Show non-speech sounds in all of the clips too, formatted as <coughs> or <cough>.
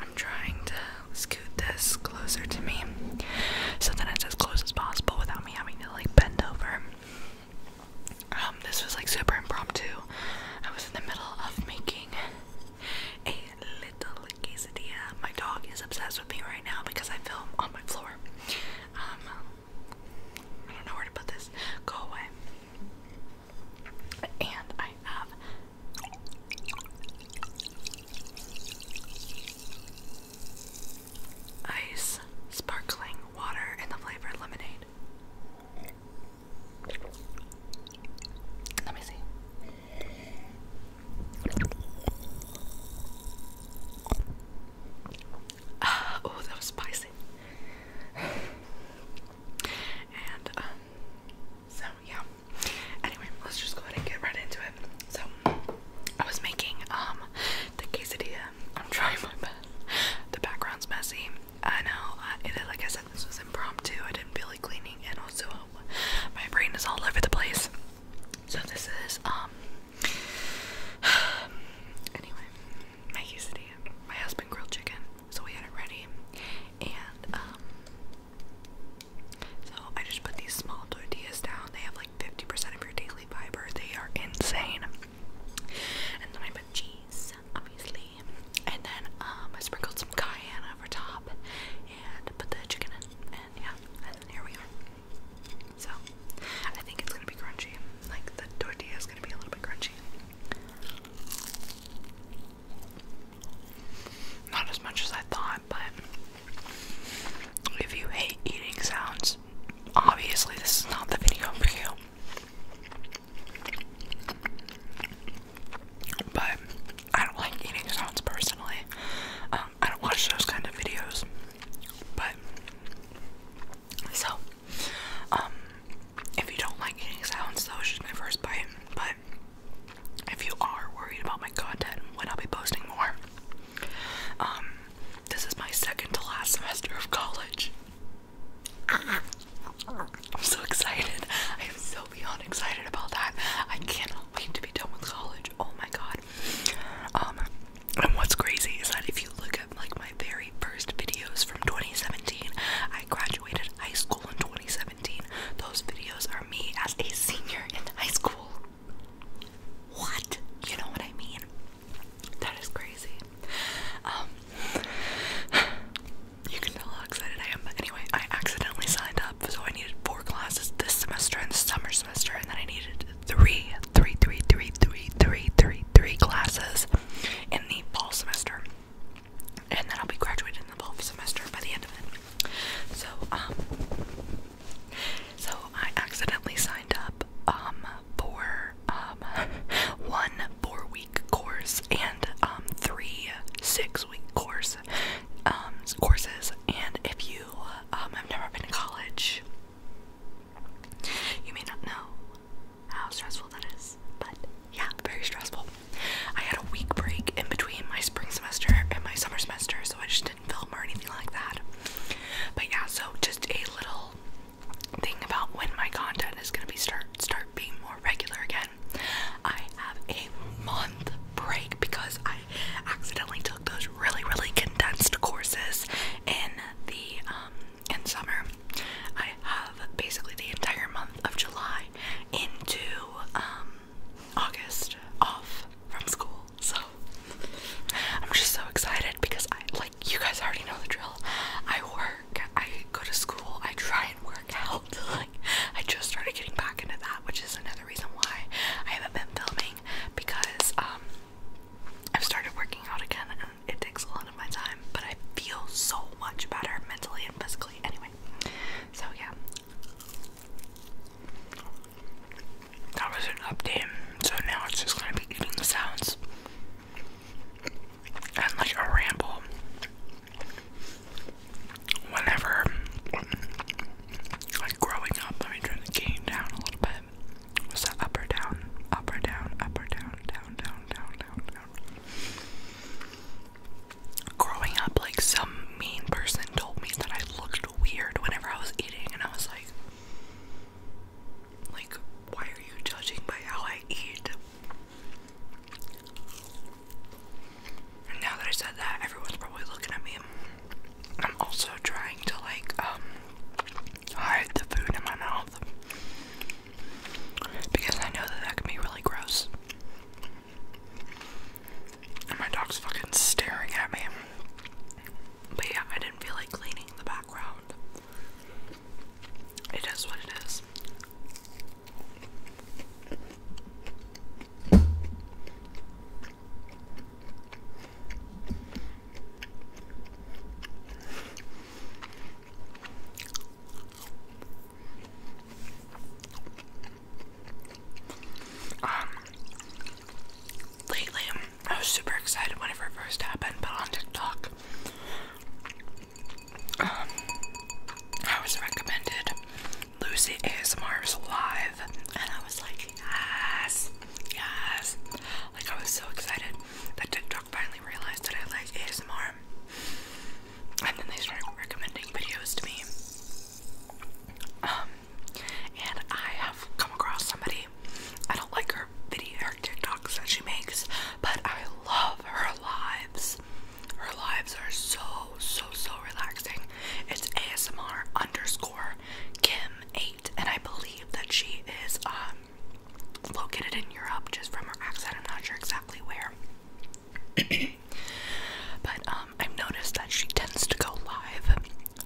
I'm trying to scoot this closer to me so that it's as close as possible without me having to like bend over. Um, this was like super impromptu. I was in the middle of making a little quesadilla. My dog is obsessed with me right now because I film on my floor. Um, I don't know where to put this. Go away. And I have ice, sparkling water, and the flavored lemonade. Let me see. Uh, oh, that was spicy. <sighs> and um, so yeah. Anyway, let's just go ahead and get right into it. So I was making um the quesadilla. I'm trying my best. The background's messy. I know. I, it, like I said, this was impromptu. I didn't feel like cleaning, and also my brain is all over the place. So this is um. <sighs> Anyway, my quesadilla. My husband grilled chicken so we had it ready, and um, so I just put these small tortillas down. They have like 50% of your daily fiber. They are insane. And then I put cheese, obviously, and then um, I sprinkled some cayenne over top and put the chicken in, and yeah, and here we are. So I think it's gonna be crunchy. Like the tortilla is gonna be a little bit crunchy. Not as much as I thought, but if you hate eating sounds, obviously this is not the video for you. But I don't like eating sounds personally. Um, I don't watch those kind of videos. But so, um, if you don't like eating sounds, that was just my first bite. But if you are worried about my content when I'll be posting more, um, this is my second to last semester of college. I'm so excited. I am so beyond excited about that. I cannot wait to be done with college. Oh my god. Um and what's crazy is that if you look at like my very first videos from 2017, I graduated graduated high school in 2017. Those videos are me as a senior in high school. What? You know what I mean? That is crazy. Um, <sighs> you can tell how excited I am. But anyway, I accidentally signed up, so I needed four classes this semester and the summer semester, and then I needed three, three, three, three, three, three, three, three classes in the fall semester and then I'll be graduating the fall semester by the end of it. So, um, so I accidentally signed up, um, for, um, <laughs> one four-week course and, um, three six-week course, um, courses, and if you, um, have never been to college, you may not know how stressful that is. But yeah, very stressful. I had a week break in between my spring semester and my summer semester, so I just didn't film or anything like that. But yeah, so just a little thing about when my content is gonna be start start being more regular again. I have a month break because I accidentally took those really really condensed courses in the um in summer. I have basically the entire month of July into um, August off from school. So I'm just so excited because I like you guys already know the drill. I work, I go to school, I try and work out. <laughs> Like I just started getting back into that, which is another reason why I haven't been filming because um I've started working out again it takes a lot of my time, but I feel so much better mentally and physically anyway. So, yeah. That was an update, so now it's just gonna be eating the sounds and like a ramble whenever like growing up let me turn the game down a little bit was that up or down up or down up or down down down down down Growing up, like some mean person told me that I looked weird whenever I was eating, and I was like, like, why are you judging by how I eat? now that I said that, everyone's probably looking at me. I'm also trying to like um, hide the food in my mouth. Because I know that that can be really gross. And my dog's fucking staring at me. But yeah, I didn't feel like cleaning the background. It is what it is. Um, lately, I was super excited whenever it first happened, but on TikTok, um, I was recommended Lucy ASMR's Live, and I was like, yes, yes, like I was so excited that TikTok finally realized that I like ASMR. And then they started recommending videos to me. Um, and I have come across somebody. I don't like her video, TikToks that she makes, but I love her lives. Her lives are so, so, so relaxing. It's ASMR underscore Kim8, and I believe that she is um located in Europe, just from her accent. I'm not sure exactly where. <coughs> but um, I've noticed that she tends to go live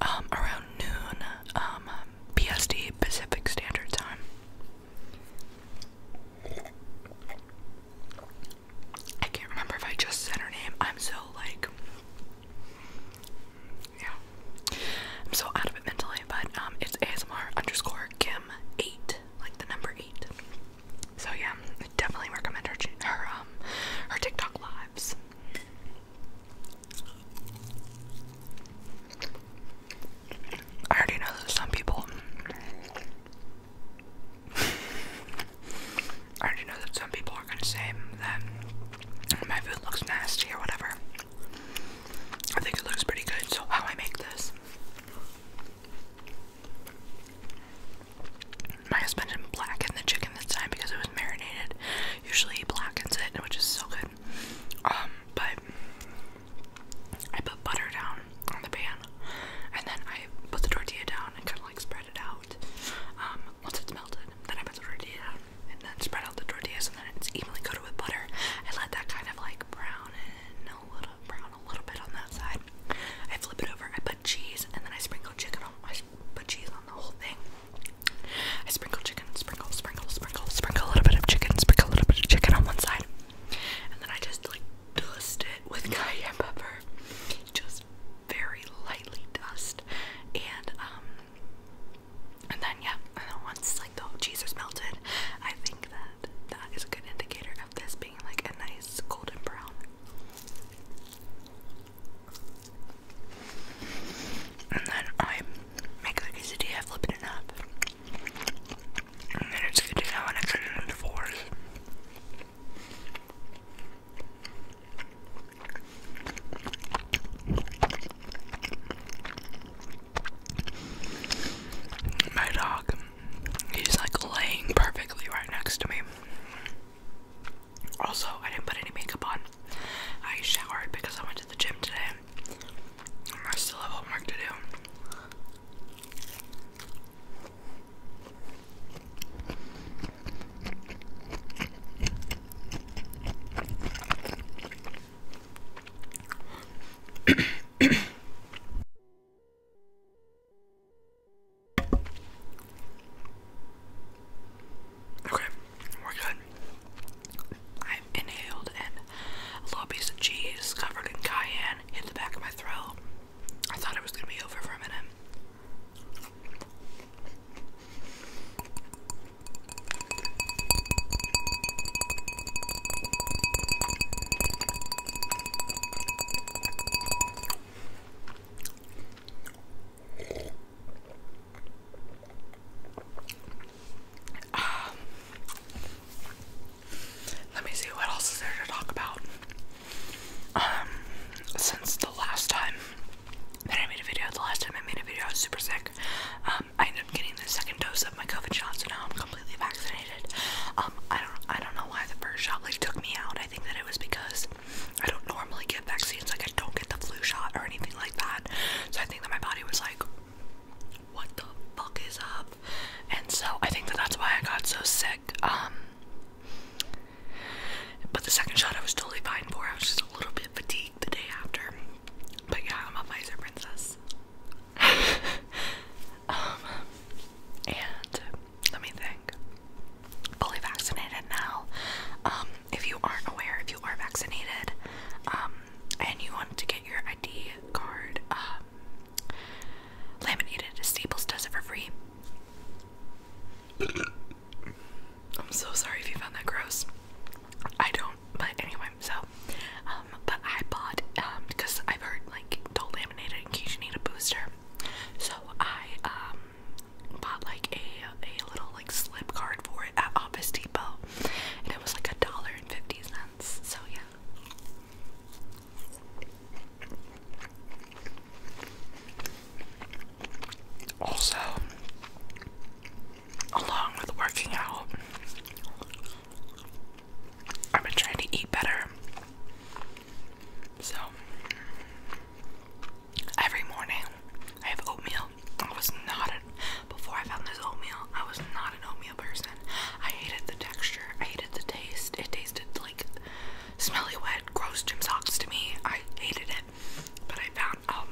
um, around noon um, PSD Pacific Standard Time. I can't remember if I just said her name. I'm so like, yeah. I'm so out of it mentally, but um, it's ASMR underscore Kim eight, like the number eight. So yeah, definitely recommend her her um her TikTok lives. I already know that some people. <laughs> I already know that some people are gonna say that my food looks nasty or whatever. I think it looks pretty good. So, how I make this. My husband did the chicken this time because it was marinated. Usually blackens it, which is so good. Um, but I put butter down on the pan, and then I put the tortilla down and kind of like spread it out. Um, once it's melted, then I put the tortilla and then spread out the tortillas and then it's evenly coated with butter and let that kind of like brown and a little brown a little bit on that side. I flip it over, I put cheese and then I sprinkle chicken on I put cheese on the whole thing. I sprinkle chicken, sprinkle, sprinkle, sprinkle, sprinkle a little bit of chicken, sprinkle a little bit of chicken on one side. And then I just like dust it with <laughs> cayenne pepper. Just very lightly dust. And um and then yeah, once like the cheese is melted, I think that that is a good indicator of this being like a nice golden brown. And then I make the quesadilla, flip it up, and then it's good to know when I cut it into fours. My dog, he's like laying perfectly right next to me. Also, I didn't put any makeup on. I showered because I went to the gym today. I still have homework to do okay, we're good. i inhaled a little piece of cheese covered in cayenne hit the back of my throat. I thought it was gonna be over for a minute. Um, let me see what else is there to talk about. Um, since the last time that I made a video, the last time I made a video, I was super sick. Um, um, I ended up getting the second dose of my COVID shot, so now I'm completely vaccinated. Um, I don't, I don't know why the first shot like took me out. I think that it was because I don't normally get vaccines. Like I don't get the flu shot or anything like that. So I think that my body was like, "What the fuck is up?" And so I think that that's why I got so sick. Um, but the second shot I was totally fine for. I was just a little bit fatigued the day after. But yeah, I'm a Pfizer princess. <laughs> Um, and let me think. Fully vaccinated now. Um, if you aren't aware, if you are vaccinated, um, and you want to get your ID card laminated, Staples does it for free. I'm so sorry if you found that gross. I don't, but anyway, so, um, but I bought, because um, I've heard, like, don't laminate it in case you need a booster. So I, um, bought, like, a, a little, like, slip card for it at Office Depot, and it was, like, a dollar and fifty cents, so yeah. Also, along with working out, I've been trying to eat better. So, every morning I have oatmeal. I was not a, before I found this oatmeal, I was not an oatmeal person. I hated the texture, I hated the taste. It tasted like smelly, wet, gross gym socks to me. I hated it, but I found I'll,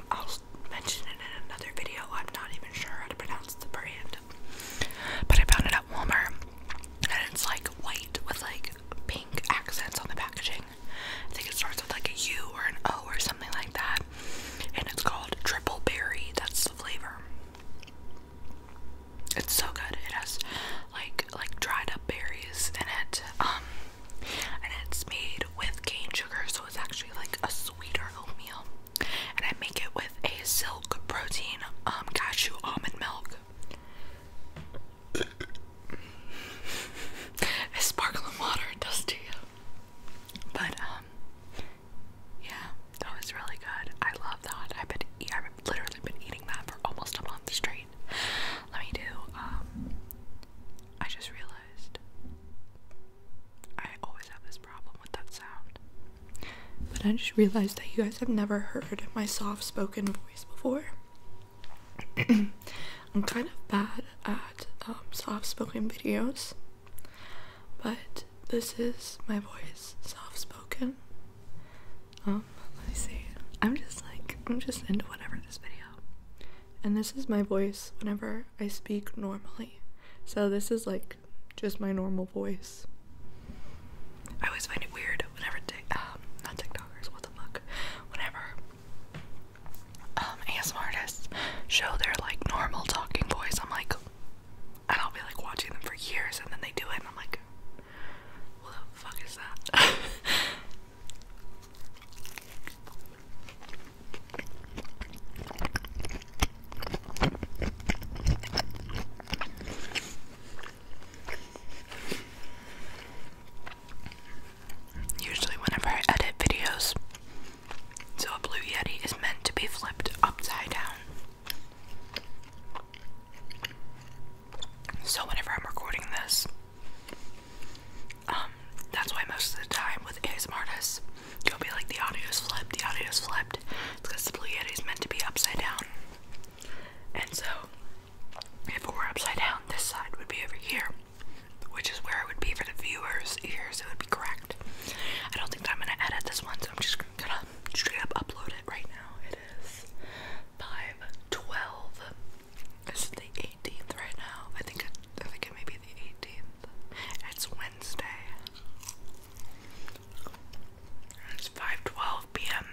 mention it in another video. I'm not even sure how to pronounce the brand, but I found it at Walmart, and it's like white with like pink accents on the packaging. I think it starts with like a U or an O or something like that, and it's called Triple Berry. That's the flavor. It's so good. It has like like dried up berries in it. Um, and it's made with cane sugar, so it's actually like a sweeter oatmeal. And I make it with a silk protein um, cashew almond milk. it's <laughs> sparkling water, it does to you. But um, yeah, that was really good. I love that. I've been, I've literally been eating that for almost a month straight. Let me do um I just realized I always have this problem with that sound. But I just realized that you guys have never heard my soft spoken voice before. <clears throat> I'm kind of bad at um, soft spoken videos, but this is my voice, soft spoken. Um, let me see. I'm just like, I'm just into whatever this video and this is my voice whenever I speak normally. So this is like just my normal voice. I always find it weird whenever um not TikTokers, what the fuck, whenever um, ASMR artists show their like normal talking voice. I'm like, and I'll be like watching them for years, and then they do it, and I'm like, what the fuck is that? <laughs> Usually, whenever I edit videos, so a Blue Yeti is meant to be flipped upside down. So, whenever I'm recording this, um, that's why most of the time with ASMR artists, you'll be like, the audio's flipped, the audio's flipped. because the Blue is meant to be upside down. And so, if it were upside down, this side would be over here, which is where it would be for the viewers' ears. It would be correct. I don't think that I'm going to edit this one, so I'm just gonna straight up upload it right now. It is 5 12 is the 18th right now? I think it, I think it may be the 18th. It's Wednesday. It's 5:12 p.m.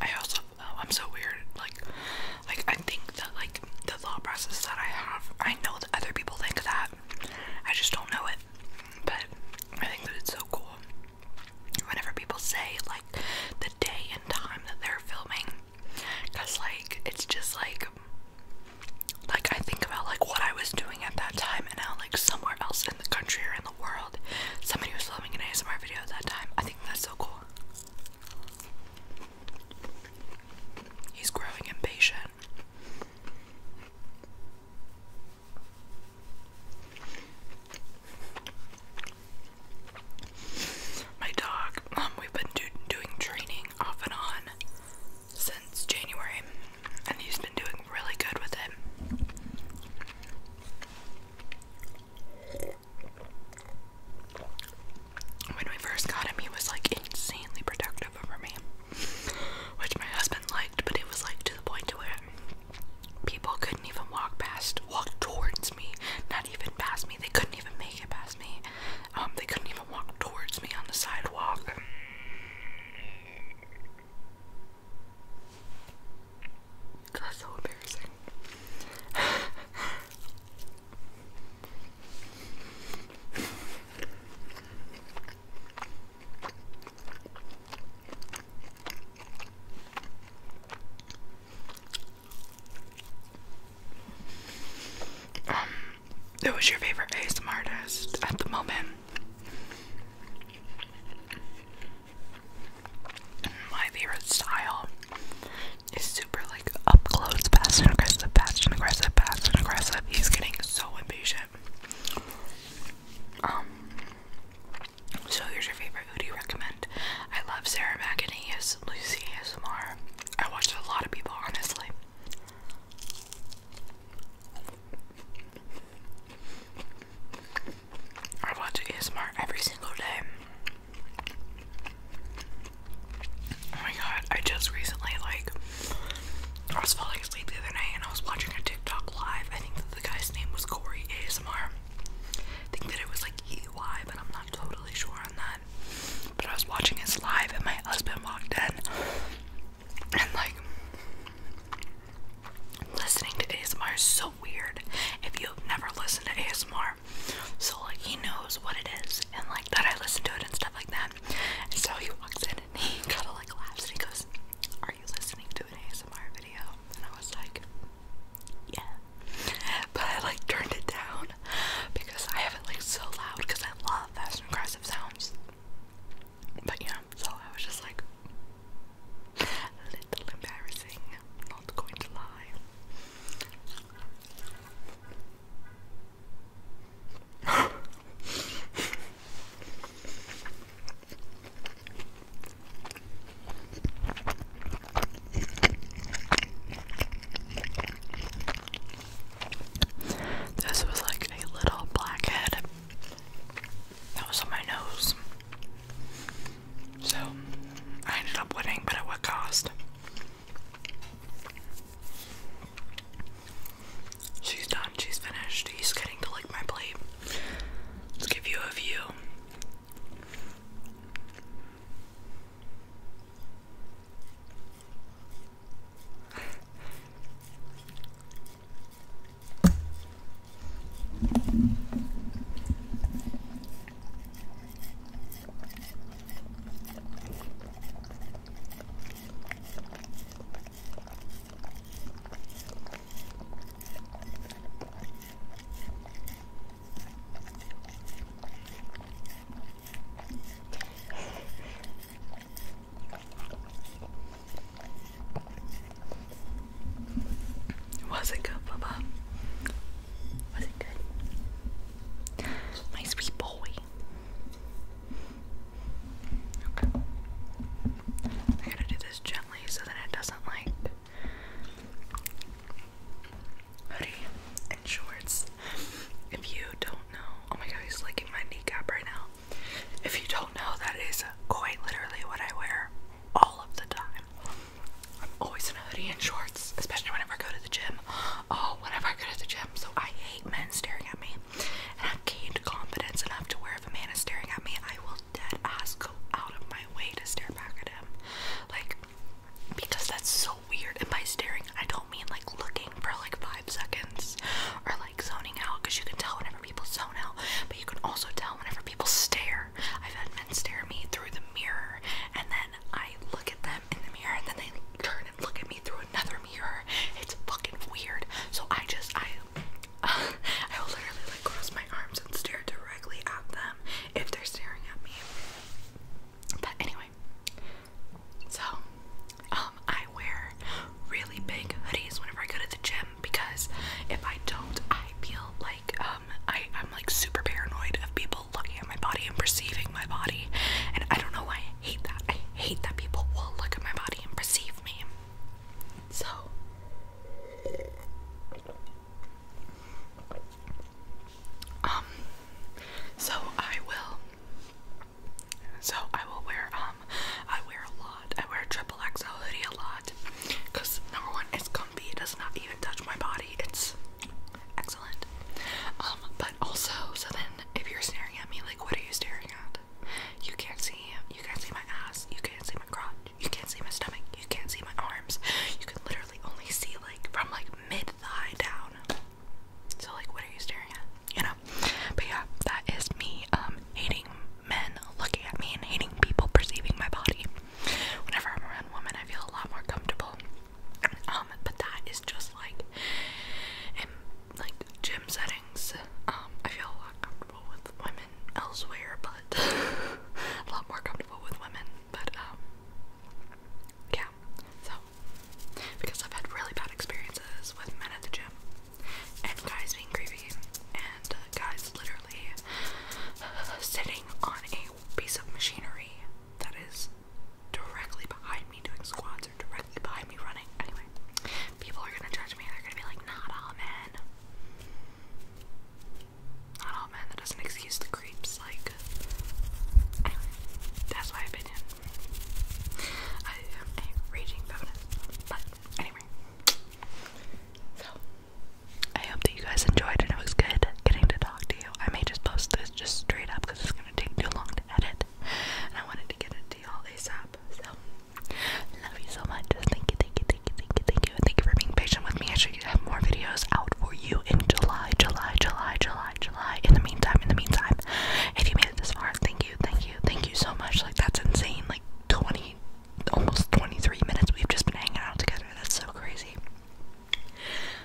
I also oh, I'm so weird. Like, like I think that like the law process that I have, I know that other people think that. I just don't know it. But I think that it's so cool whenever people say like the day and time that they're filming because like it's just like like I think about like what I was doing at that time and now like somewhere else in the country or in the world somebody was filming an ASMR video at that time. I think that's so cool. He's growing impatient. My dog, um, we've been do doing training off and on since January, and he's been doing really good with it. When we first got him, he was like insanely protective over me, which my husband liked, but it was like to the point to where people couldn't even walk past, walk towards me, not even past me. They couldn't even make it past me. Um, they couldn't even walk towards me on the sidewalk. That's so embarrassing. Um, who's your favorite ASMR artist at the moment? My favorite style is super like up close, fast aggressive, fast aggressive, fast aggressive. He's getting so impatient. Um, so here's your favorite. Who do you recommend? I love Sarah McAnees, Lucy ASMR. I watch a lot of people, honestly. I watch ASMR every single day. Oh my god, I just recently like I was falling asleep the other night and I was watching a TikTok live. I think that the guy's name was Corey ASMR. I think that it was like EY, but I'm not totally sure on that. But I was watching his live and my husband walked in and like listening to ASMR is so weird if you've never listened to ASMR. So like he knows what it is and like that I listen to it and stuff like that. And so he walks in and he kinda like laughs and he goes, he was listening to an ASMR video, and I was like, yeah. But I like turned it down because I have it like so loud because I love fast and aggressive sounds. But yeah, so I was just like a little embarrassing, not going to lie. This was like a little blackhead that was on my nose. So I ended up winning, but at what cost? She's done, she's finished. He's getting to lick my plate. Let's give you a view. Was it good, Bubba? Was it good? My sweet boy. I gotta do this gently so that it doesn't like hoodie and shorts. If you don't know, oh my god, he's licking my kneecap right now. If you don't know, that is quite literally what I wear all of the time. I'm always in a hoodie and shorts, especially whenever I go to the gym. Oh, whenever I go to the gym, so I hate men staring at me i gained confidence enough to where if a man is staring at me, I will dead ass go out of my way to stare back at him. Like, because that's so weird. And by staring, I don't mean like looking for like five seconds or like zoning out, because you can tell whenever people zone out, but you can also tell whenever people stare. I've had men stare at me through the mirror, and then I look at them in the mirror, and then they turn and look at me through another mirror. It's fucking weird. So I just I <laughs> I will literally like cross my arms and stare directly at them if they're staring at me. But anyway, so um, I wear really big hoodies whenever I go to the gym because if I don't I feel like um, I, am like super paranoid of people looking at my body and perceiving my body and I don't know why I hate that hate that people will look at my body and perceive me. So um so I will so I will wear um I wear a lot. I wear a triple XL hoodie a lot cuz number one it's comfy. It does not even touch my body. It's excellent. Um but also so then if you're staring at me, like, what are you staring at? You can't see, you can't see my ass, you can't see my crotch, you can't see my stomach, you can't see my arms. You can literally only see, like, from, like, mid-thigh down. So, like, what are you staring at? You know? But yeah, that is me, um, hating men looking at me and hating people perceiving my body. Whenever I'm around women, I feel a lot more comfortable. Um, but that is just, like, like gym settings, um, I feel a lot comfortable with women elsewhere, but <laughs> a lot more comfortable with women. But um, yeah, so because I've had really bad experiences with men at the gym and guys being creepy and uh, guys literally uh, <sighs> sitting on a piece of machinery that is directly behind me doing squats or directly behind me running. Anyway, people are gonna judge me. They're gonna be like, not all men. Not all men. That doesn't excuse the creeps. Like, that's my opinion. I am a raging feminist. But anyway, so I hope that you guys enjoyed and it was good getting to talk to you. I may just post this just straight up because it's gonna take too long to edit and I wanted to get it a deal ASAP. So, love you so much. Thank you, thank you, thank you, thank you, thank you, thank you for being patient with me. I should have more videos out for you in July, July, July, July, July. In the meantime, in the meantime, if you made it this far, thank you, thank you, thank you so much. Like that's insane. Like 20, almost 23 minutes. We've just been hanging out together. That's so crazy.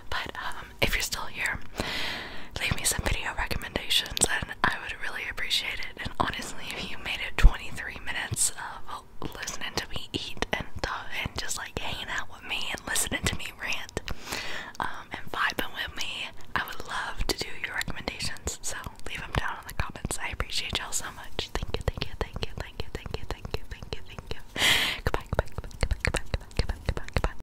But um, um, if you're still here, leave me some video recommendations, and I would really appreciate it. And honestly, if you made it 23 minutes of listening to me eat and talk and just like hanging out with me and listening to me rant um, and vibing with me, I would love to do your recommendations. So leave them down in the comments. I appreciate y'all so much. Thank you, thank you, thank you, thank you, thank you, thank you, thank you, thank you. Goodbye, goodbye, goodbye, goodbye, goodbye, goodbye, goodbye, goodbye, goodbye.